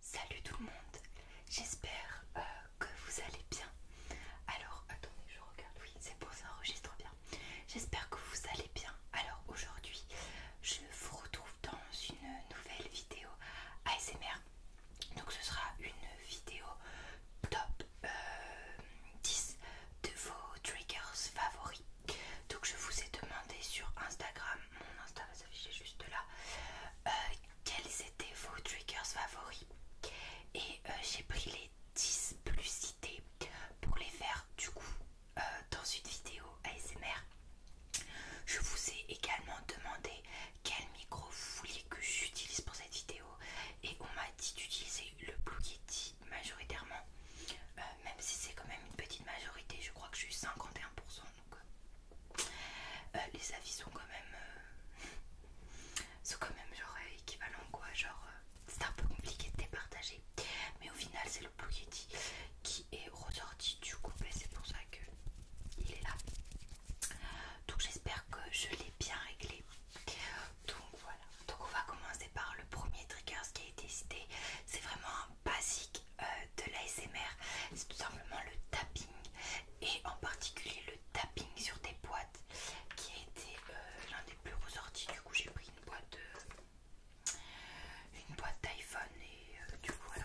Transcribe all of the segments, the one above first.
Salut tout le monde, j'espère euh, que vous allez bien. Alors attendez, je regarde, oui, c'est bon, ça enregistre bien. J'espère que vous allez bien. Alors aujourd'hui, je vous retrouve dans une nouvelle vidéo ASMR. Donc ce sera une vidéo top 10 euh, de vos triggers favoris. Donc je vous ai demandé sur Instagram, mon Instagram j'ai juste là. Euh, quels étaient vos triggers favoris Et euh, j'ai pris les 10 plus cités pour les faire du coup euh, dans une vidéo ASMR. Je vous ai également demandé quel micro vous vouliez que j'utilise pour cette vidéo et on m'a dit d'utiliser le Blue Kitty majoritairement, même si c'est quand même une petite majorité, je crois que je suis 51% euh, euh, les avis sont quand même euh, sont quand même genre équivalents quoi genre c'est un peu compliqué de départager mais au final c'est le Blue qui est ressorti du et ben, c'est pour ça que il est là donc j'espère que je l'ai bien réglé donc voilà donc on va commencer par le premier trigger ce qui a été cité c'est vraiment un basique euh, de l'ASMR, c'est tout simplement le tapping et en particulier le tapping sur des boîtes qui a été euh, l'un des plus ressortis. Du coup, j'ai pris une boîte une boîte d'iPhone et euh, du coup voilà.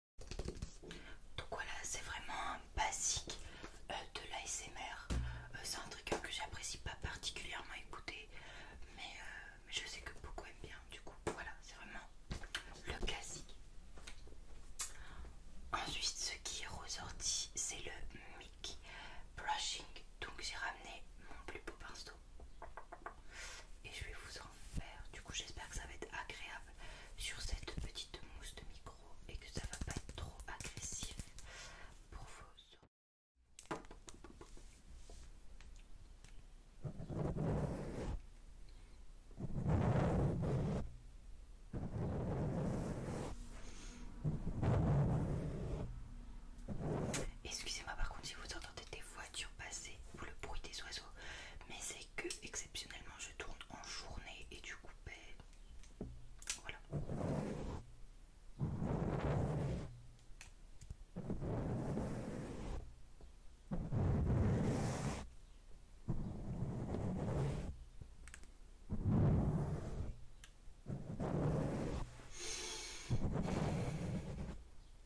Donc voilà, c'est vraiment un basique euh, de l'ASMR. Euh, c'est un truc que j'apprécie pas particulièrement écouter, euh, mais je sais que beaucoup aiment bien. Du coup, voilà, c'est vraiment le classique. Ensuite, ce qui est ressorti, c'est le mic Brushing. Donc j'ai ramené mon plus beau pinceau et je vais vous en faire. Du coup, j'espère que ça va être agréable sur cette petite mousse de micro et que ça va pas être trop agressif pour vos Excusez-moi par contre si vous entendez des passer ou le bruit des oiseaux, mais c'est que exceptionnellement je tourne en journée et du coup, ben, voilà.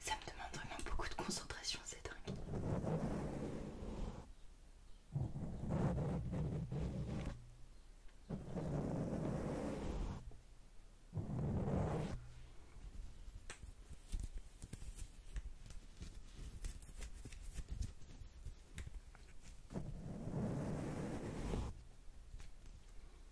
Ça me demande vraiment beaucoup de concentration, c'est dingue.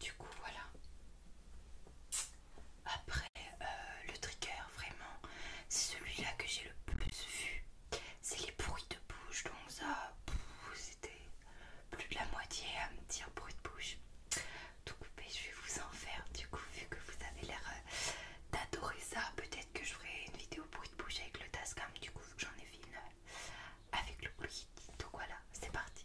Du coup, voilà. Après, euh, le trigger, vraiment, c'est celui-là que j'ai le plus vu. C'est les bruits de bouche, donc ça, c'était plus de la moitié à me dire bruit de bouche. Tout coupé, je vais vous en faire. Du coup, vu que vous avez l'air euh, d'adorer ça, peut-être que je ferai une vidéo bruit de bouche avec le Tascam. Du coup, j'en ai fait une avec le bruit, tout voilà, c'est parti.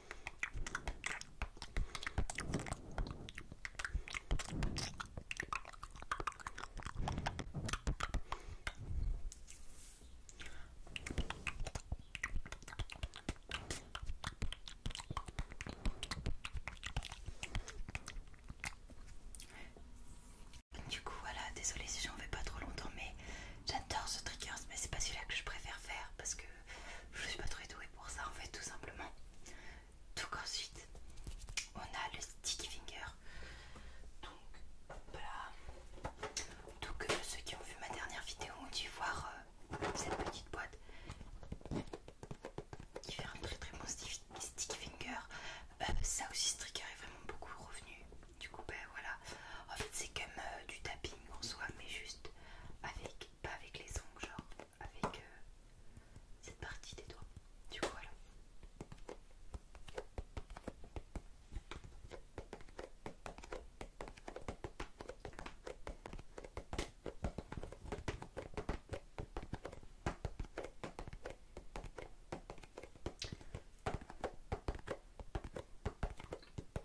Du coup voilà, désolé si j'en vais pas trop longtemps mais J'adore ce tricker mais c'est pas celui-là que je préfère faire parce que je suis pas très douée pour ça en fait, tout simplement. tout qu'ensuite on a le stick finger. Donc voilà. tout euh, ceux qui ont vu ma dernière vidéo ont dû voir euh, cette petite boîte qui fait un très très bon stick finger. Euh, ça aussi, ce tricker est vraiment beaucoup revenu du coup, ben voilà. En fait, c'est comme euh, du tapping en soi, mais juste avec, pas avec les ongles, genre avec euh, cette partie des doigts. Du coup, voilà.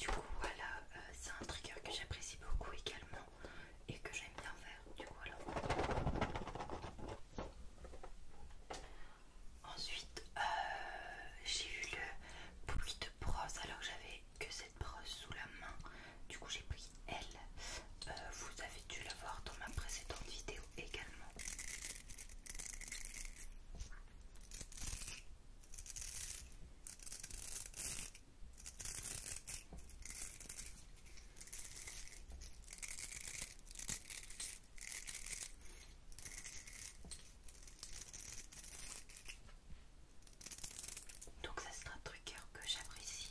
Du coup voilà, euh, c'est un trigger que j'apprécie beaucoup également et que j'aime bien faire. Du coup alors. Ensuite euh, j'ai eu le bruit de brosse alors que j'avais que cette brosse sous la main. Du coup j'ai pris elle. Euh, vous avez dû la voir dans ma précédente vidéo également. Donc ça sera un truc que j'apprécie.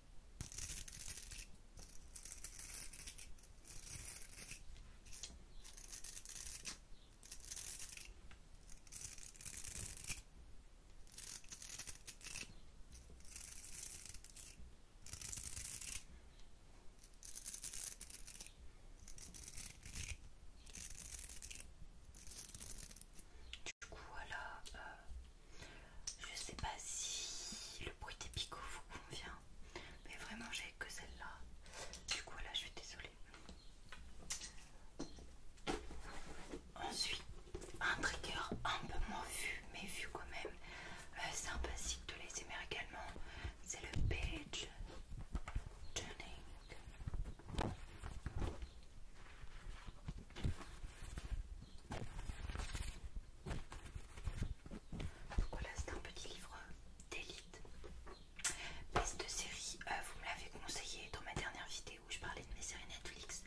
Du coup, voilà, euh, je sais pas si le bruit des picots vous convient, mais vraiment j'ai que celle-là. Du coup là je suis désolée. Ensuite, un trigger un peu moins vu, mais vu quand même. sympathique euh, c'est un de laisser également. C'est le page turning voilà, c'est un petit livre d'élite. Mais de série, euh, vous me l'avez conseillé dans ma dernière vidéo où je parlais de mes séries Netflix.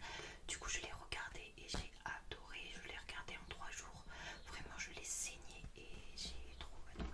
Du coup, je l'ai regardé et j'ai adoré. Je l'ai regardé en 3 jours. Vraiment, je l'ai saigné et j'ai trop adoré.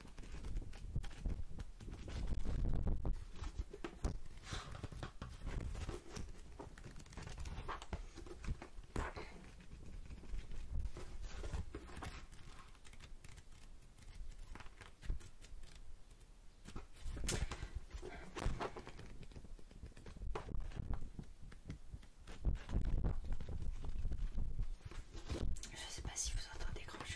Je sais pas si vous entendez grand chose.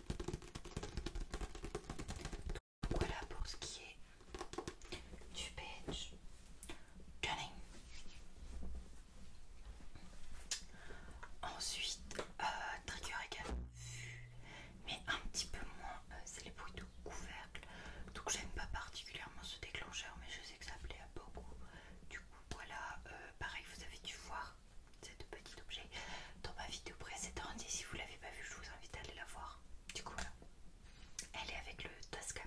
voilà pour ce qui est du page turning. Ensuite, euh, trigger également vu, mais un petit peu moins, euh, c'est les bruits de couvercle. Donc j'aime pas particulièrement ce déclencheur, mais je sais que ça plaît à beaucoup. Du coup, voilà, euh, pareil, vous avez dû voir cette petit objet dans ma vidéo précédente si vous l'avez pas vue je vous invite à aller la voir du coup elle est avec le Tascam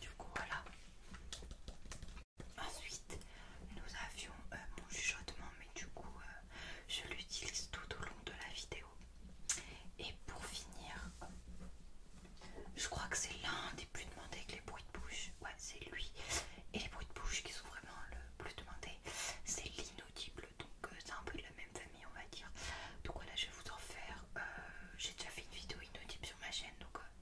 Du coup, voilà. Ensuite, nous avions euh, mon chuchotement, mais du coup, euh, je l'utilise tout au long de la vidéo. Et pour finir, je crois que c'est l'un des plus demandés avec les bruits de bouche. Ouais, c'est lui. Et les bruits de bouche qui sont vraiment le plus demandé. c'est l'inaudible. Donc, euh, c'est un peu de la même famille, on va dire. Donc, voilà, je vais vous en faire. J'ai déjà fait une vidéo inaudible sur ma chaîne, donc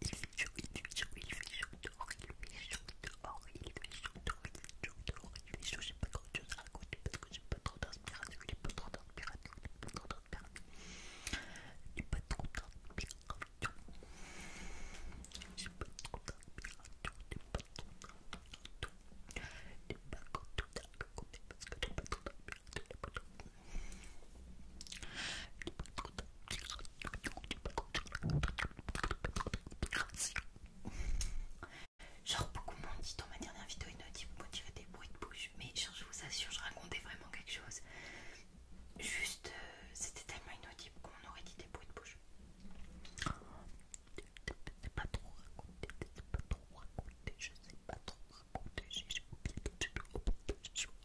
il fait chaud, il fait chaud, il fait chaud dehors, il fait il fait il fait il fait pas à raconter parce que j'ai pas pas pas pas pas trop pas pas trop d'inspiration, pas pas pas parce que pas trop d'inspiration, Genre beaucoup m'ont dit dans ma dernière vidéo inaudible, moi tu des bruits de bouche, mais genre je vous assure, je racontais vraiment quelque chose. Juste, euh, c'était tellement inaudible qu'on aurait dit des bruits de bouche. C'est pas trop raconté, c'est pas trop raconté, je sais pas trop raconter, j'ai oublié, j'ai oublié,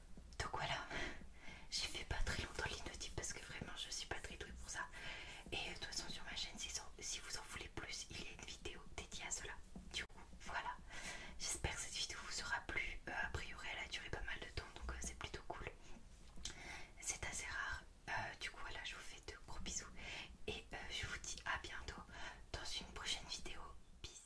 donc voilà, j'ai fait pas très longtemps l'hypnotique parce que vraiment je suis pas très douée pour ça. Et euh, de toute façon sur ma chaîne, si vous en voulez plus, il y a une vidéo dédiée à cela. Du coup, voilà. J'espère que cette vidéo vous aura plu. Euh, a priori, elle a duré pas mal de temps, donc euh, c'est plutôt cool. C'est assez rare. du coup, voilà, je vous fais de gros bisous. Et je vous dis à bientôt dans une prochaine vidéo. Peace